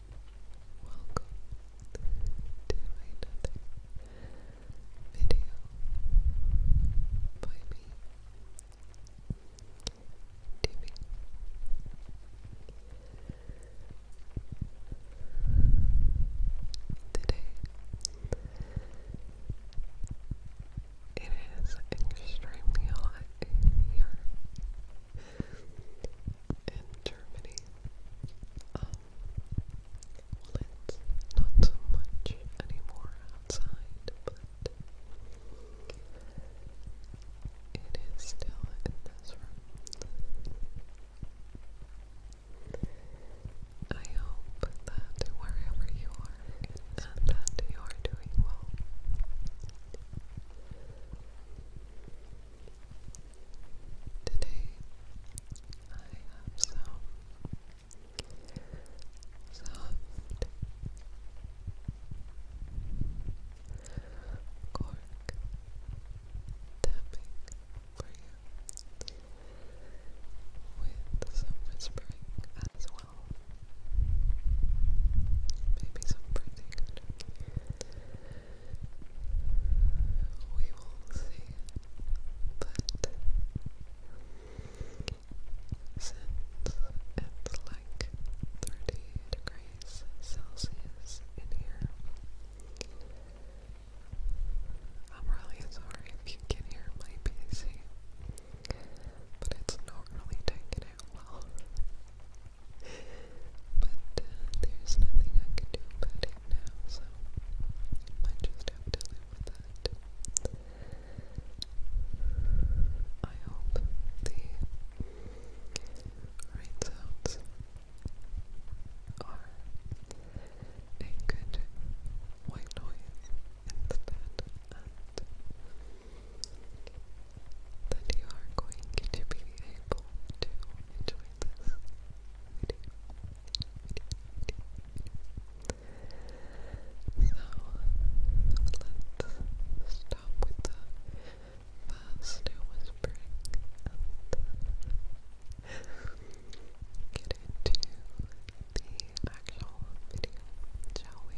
Welcome to another video by me, TV. Today it is extremely hot here in Germany. it's not so much anymore outside, but it is still in this room. I hope that wherever you are and that you are doing well. Today I have some soft, cork tapping for you with some whispering as well. Maybe some breathing we will see. But since it's like 30 degrees Celsius in here, I'm really sorry if you can hear my PC, but it's not really taking it well. But uh, there's nothing I can do about it now, so I just have to live with that. I hope the rain sounds are a good white noise instead, that you are going to be able to enjoy this So let's stop with the fast whispering and um, get into the actual video, shall we?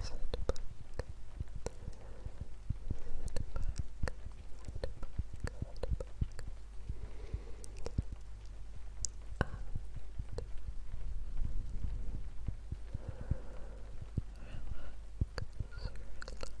Sit back. Sit back. Sit back. Sit back. And relax, relax, relax.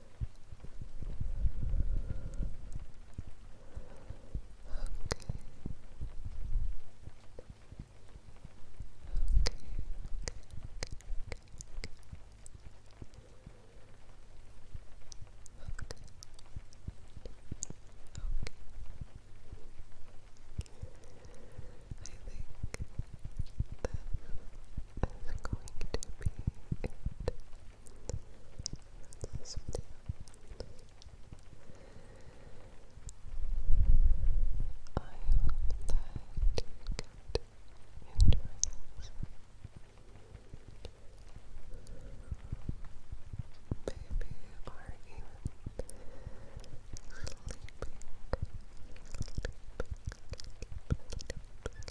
I think that is going to be it I hope that you could enjoy this. Maybe you are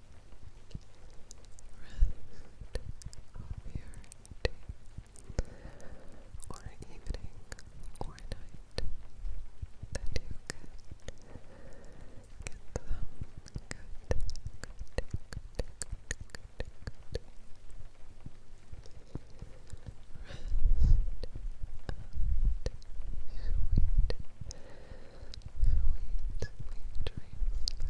of your day, or evening, night, that you can get some good, rest sweet. sweet dreams.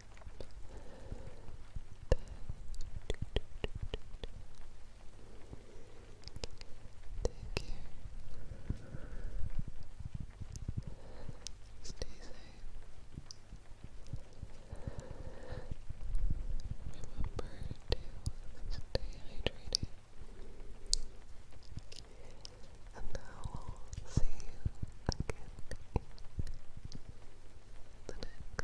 Stay safe. Remember to stay hydrated. And I will see you again in the next